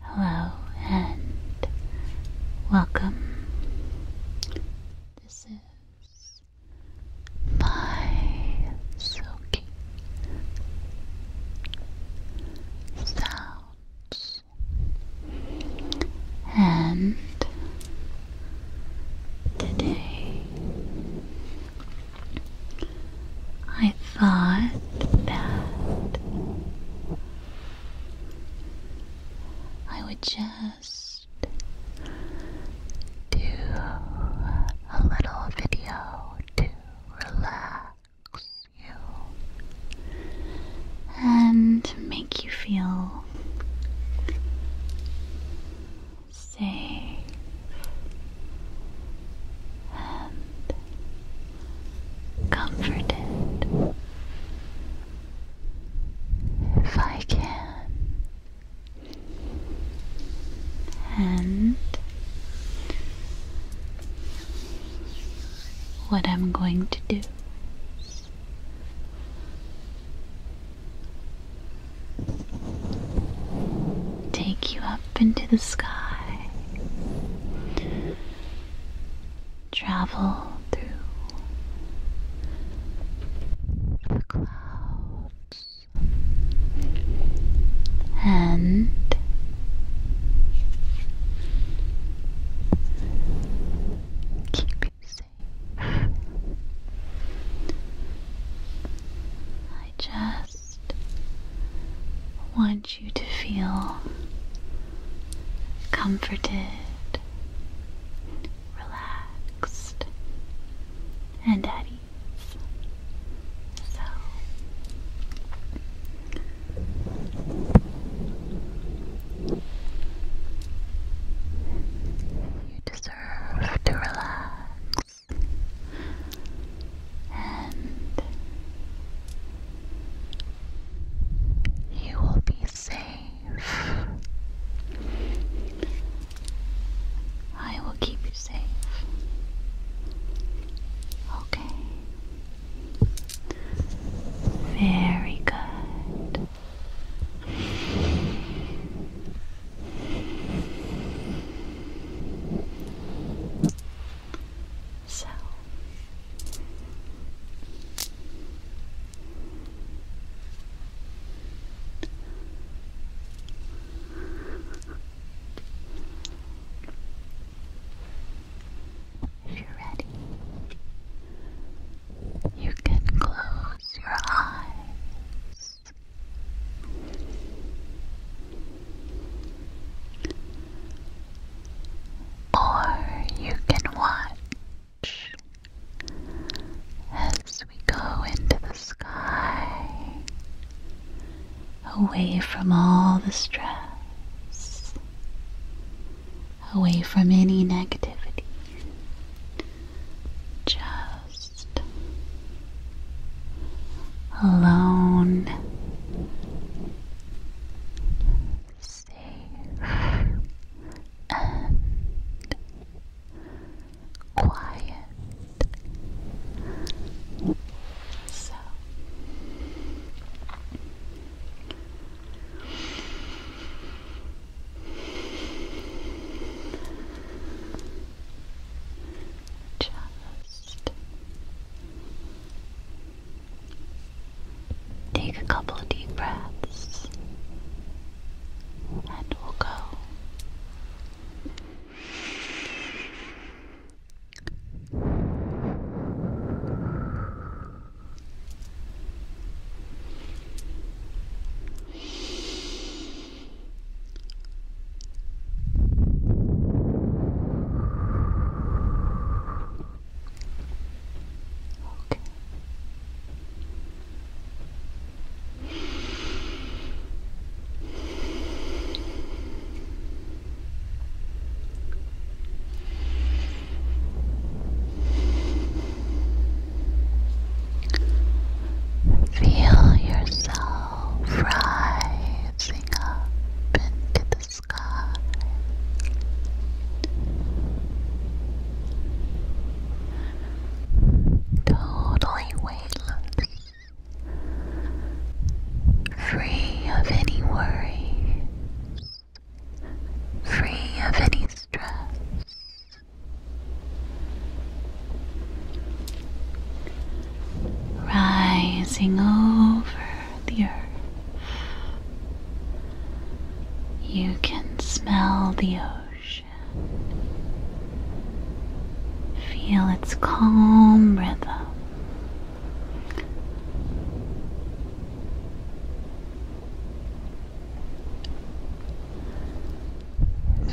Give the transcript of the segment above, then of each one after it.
Hello and welcome. This is my silky sounds and today I I thought that I would just do a little video to relax you and make you feel safe and comforted. If I can, and what I'm going to do take you up into the sky travel through the clouds and keep you safe. I just just want you to feel comforted, relaxed, and at ease. So, you deserve to relax and you will be safe. I will keep you safe. Okay. Very good. So if you're ready, you can close your eyes. Or you can watch as we go into the sky, away from all the stress, away from any negativity. Just alone, safe, and quiet. So. Just Take a couple of deep breaths and we'll go. Okay. Feel yourself rising up into the sky. Totally weightless, free of any worry, free of any stress rising over the earth. You can smell the ocean, feel its calm rhythm.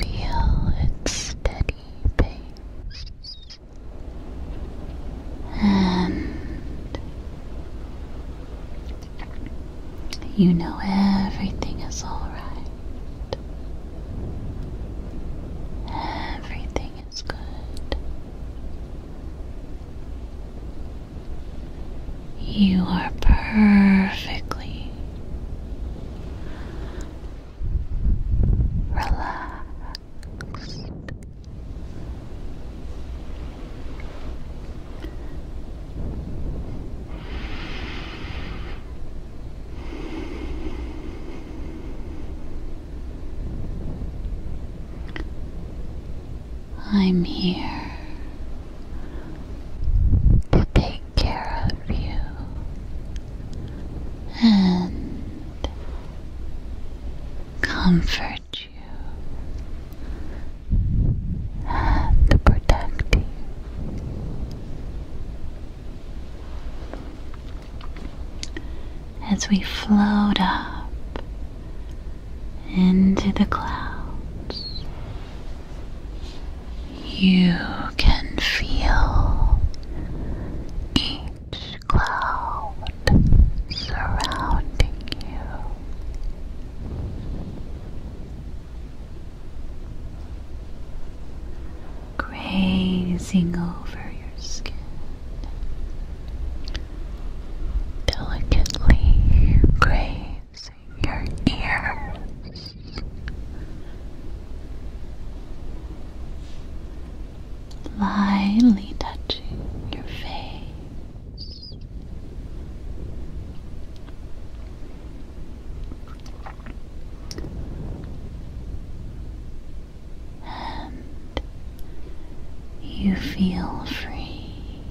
Feel its steady pace. And you know everything is alright. Everything is good. You are perfectly, Relax. I'm here to take care of you and comfort you and protect you. As we float up into the clouds, you can feel each cloud surrounding you, grazing over your skin. Delicately grazing your ear lightly touching your face. And you feel free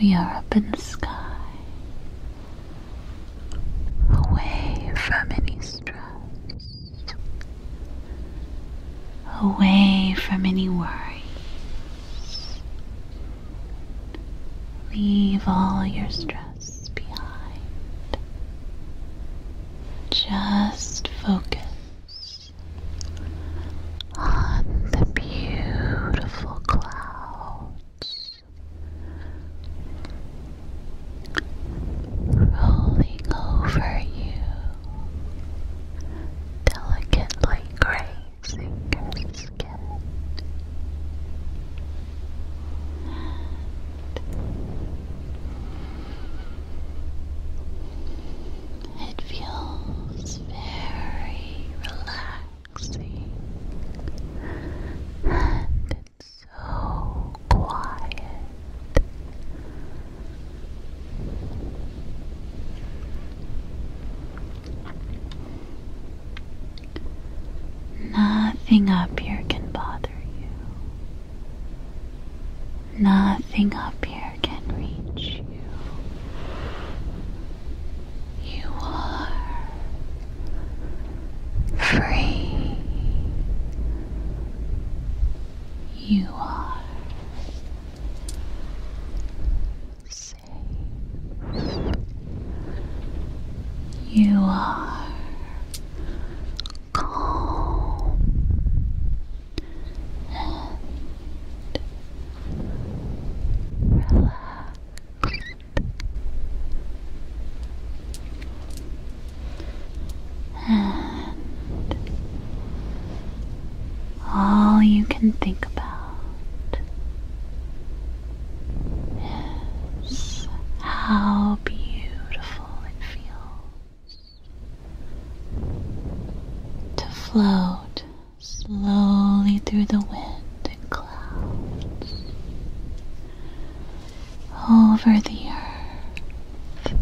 we are up in the sky, away from any stress, away from any worries. Leave all your stress behind. Just focus on the beautiful clouds rolling over you, delicately grazing your skin. It feels very relaxing and it's so quiet. Nothing up here can bother you. Nothing up here can reach you. You are free. You are safe. You are calm and relaxed. And all you can think about is how beautiful it feels to float slowly through the wind and clouds over the earth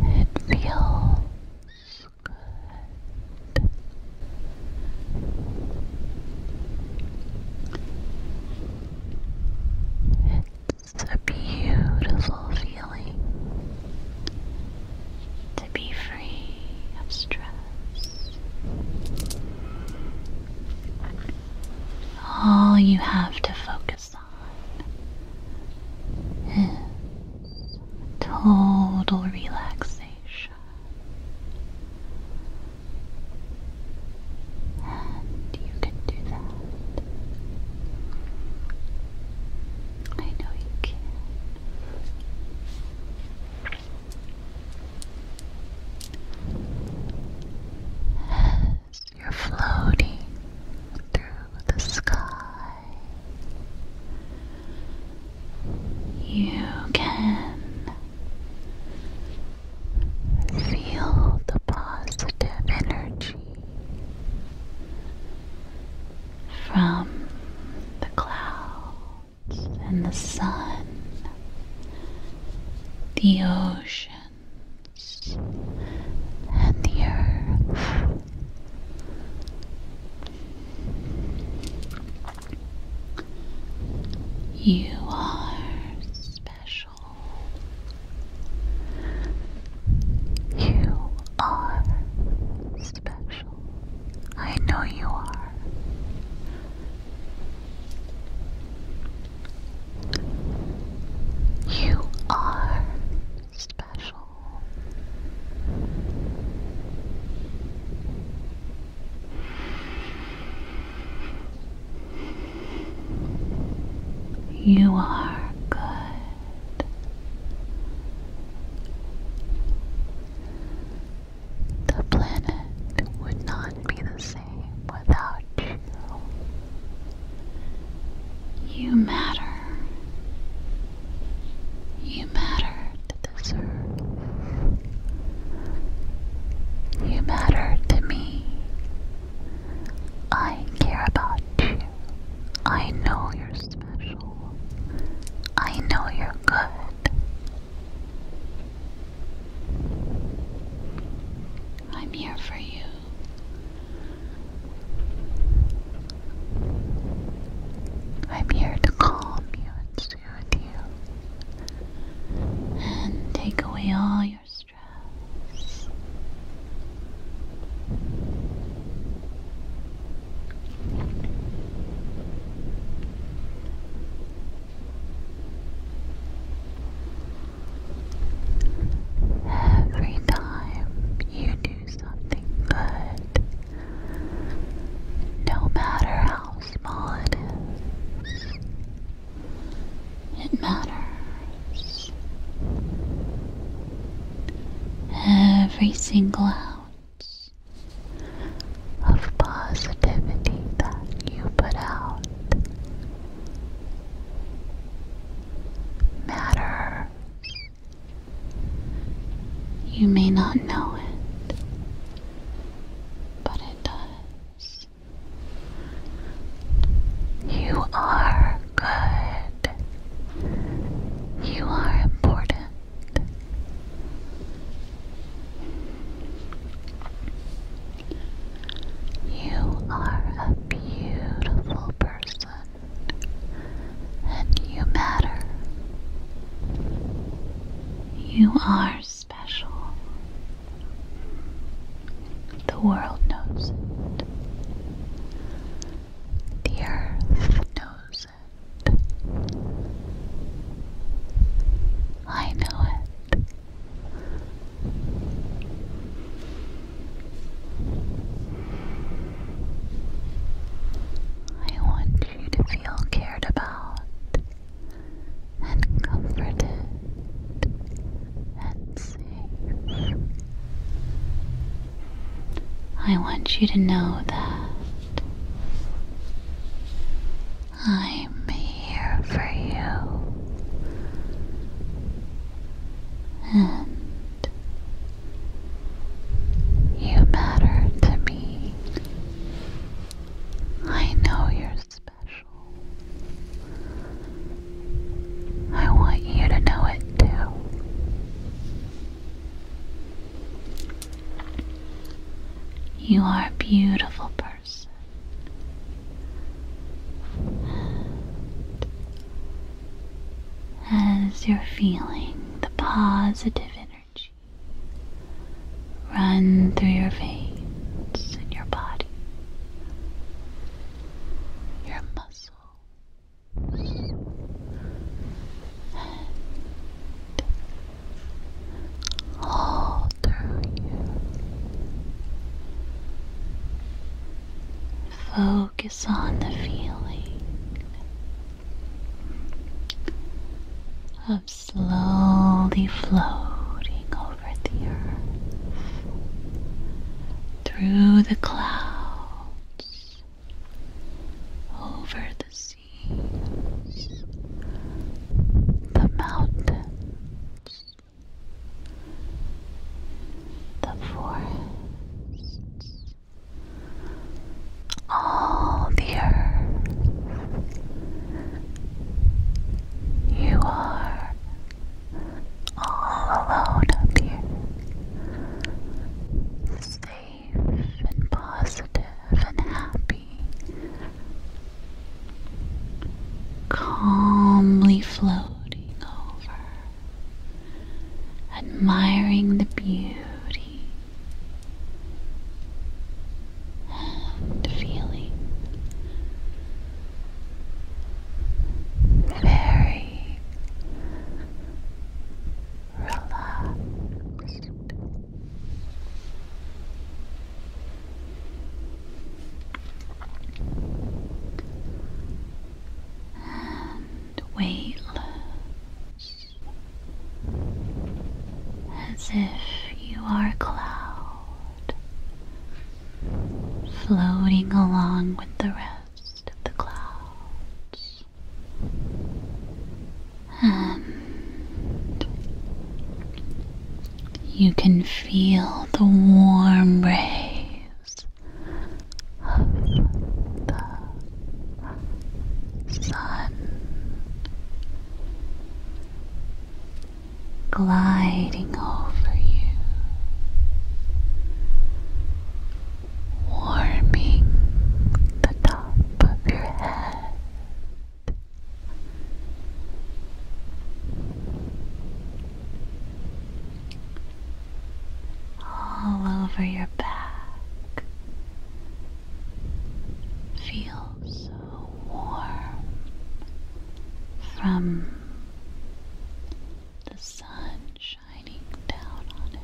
it feels good it's a beautiful feeling to be free of stress. All you have to focus on is total relaxation you can do that. I know you can. As you're floating through the sky, you can Feel the positive energy from the clouds and the sun, the oceans, and the earth. You are special. You are special. I know you are. You are special. You are good. The planet would not be the same without you. You matter. You matter deserve. You matter to me. I care about you. I know you're special. I know you're good. I'm here for you. I'm here to calm you and take away all your stress. Every time you do something good, no matter how small it matters. Every single ounce of positivity that you put out matters. You may not know it but it does. You are good. You are important. You are a beautiful person and you matter. You are special. The world knows it. The earth knows it. I know it. I want you to feel cared about and comforted and safe. I want you to know that I'm here for you. And you matter to me I know you're special. I want you to know it too. You are a beautiful person. as you're feeling the positive energy run through your veins and your body, your muscles, and all through you. Focus on the feeling of slowly floating over the earth, through the clouds, over the seas, the mountains, the forests, all the You are all alone up here, safe and positive and happy, calmly floating over, admiring the beauty the feeling. Very relaxed. And weightless as if you are a cloud floating along with the rest of the clouds. And you can feel the warm rays of the sun gliding over you, warming the top of your head. All over your back, feel so warm from the sun shining down on it.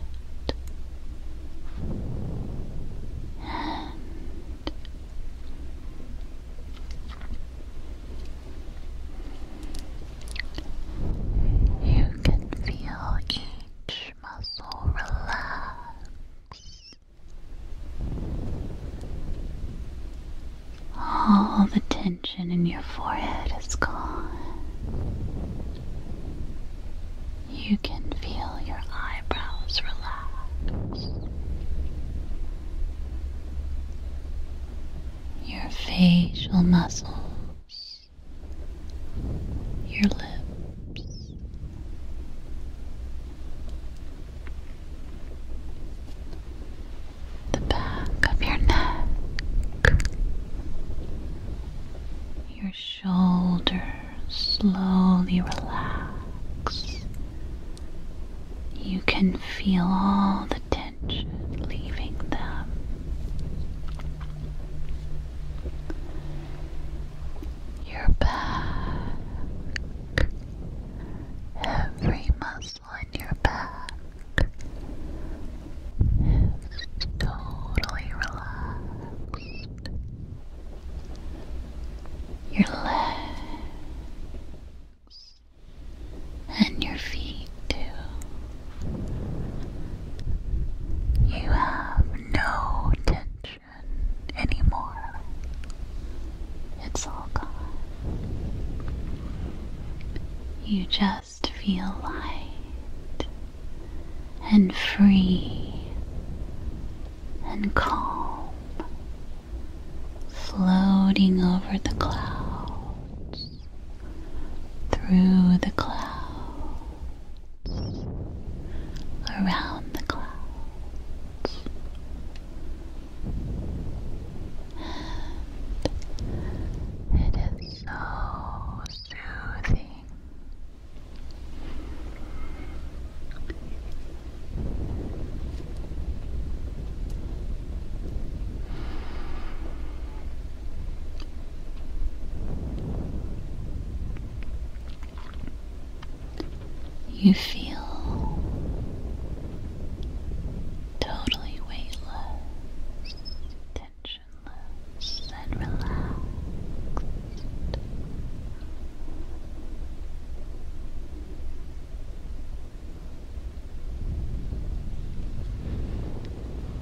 And you can feel each muscle relax. All the tension in your forehead is gone. You can feel your eyebrows relax. Your facial muscles your lips. The back of your neck, your shoulders slowly relax. You can feel all the tension leaving them your back, every muscle in your back is totally relaxed. Your legs and your feet, too. You have no tension anymore. It's all gone. You just feel light and free and calm floating over the clouds, through the clouds around the clouds it is so soothing you feel totally weightless, tensionless, and relaxed.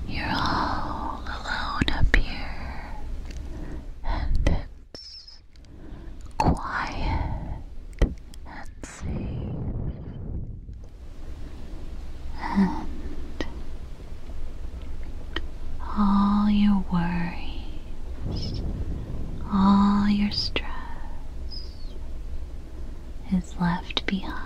You're all all alone up here, and it's quiet and safe, and all your worries, all your stress is left behind.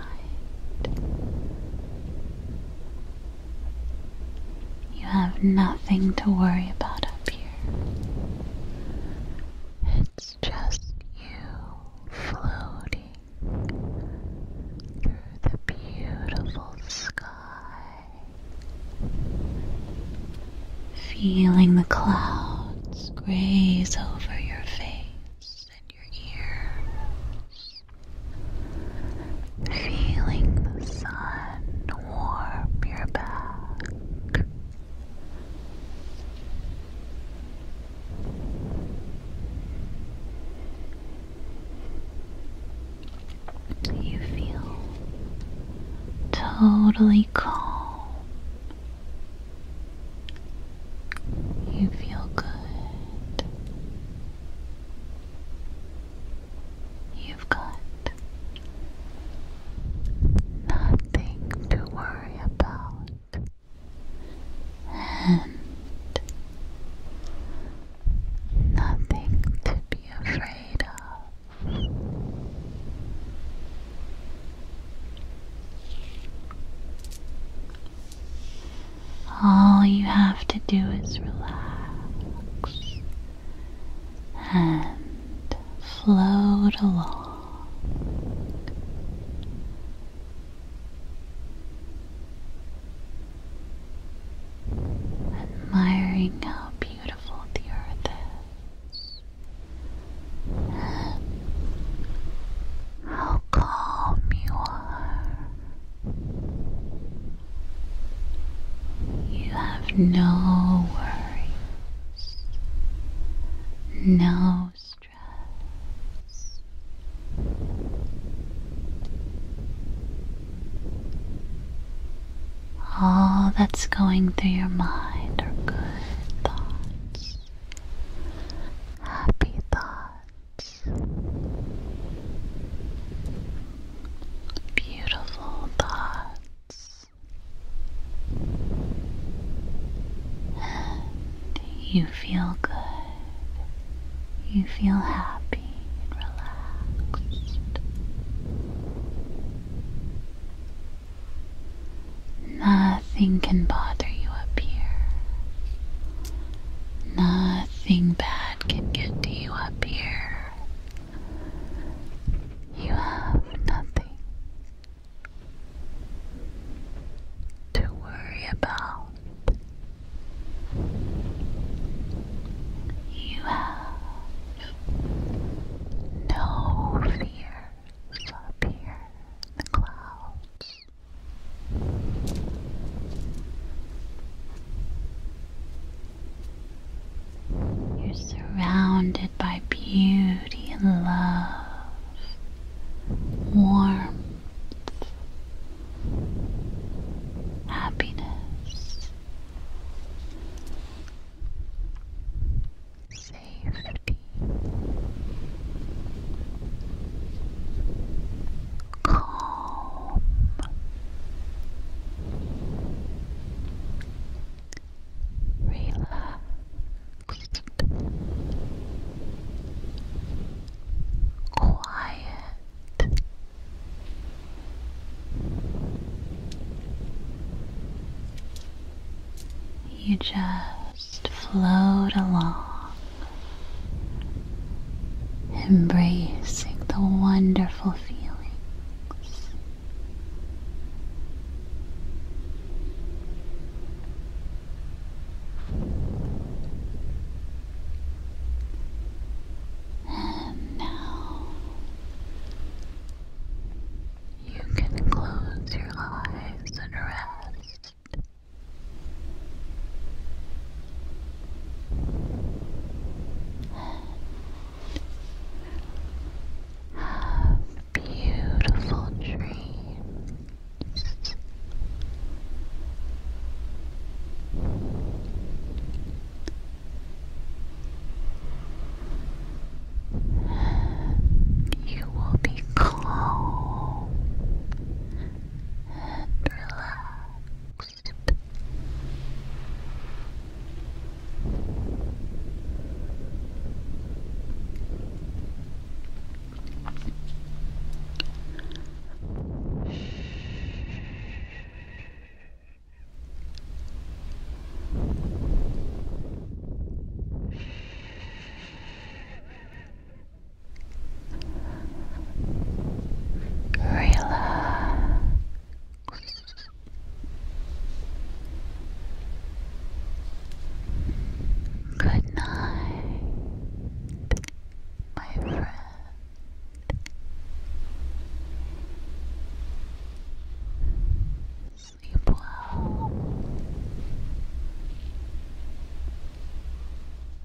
You have nothing to worry about up here. It's just you floating through the beautiful sky, feeling the clouds graze over your face and your ear. Feeling the sun warm your back. You feel totally calm. You feel good. You've got nothing to worry about, and nothing to be afraid of. All you have to do is relax and float along. Admiring how beautiful the earth is, how calm you are. You have no worries, no stress. All that's going through your mind are good thoughts, happy thoughts beautiful thoughts, you feel good. You feel happy and relaxed. Nothing can bother you up here. Nothing nothing bad can get to you up here. You have nothing to worry about. You have no fears up here in the clouds. You're surrounded by beauty and love, warmth, happiness, safety calm. Relaxed, quiet, you just just float along, embracing the wonderful feelings. And now you can close your eyes and rest. Have beautiful dreams. You will be calm and relaxed. Relax. Good night, my friend. Sleep well.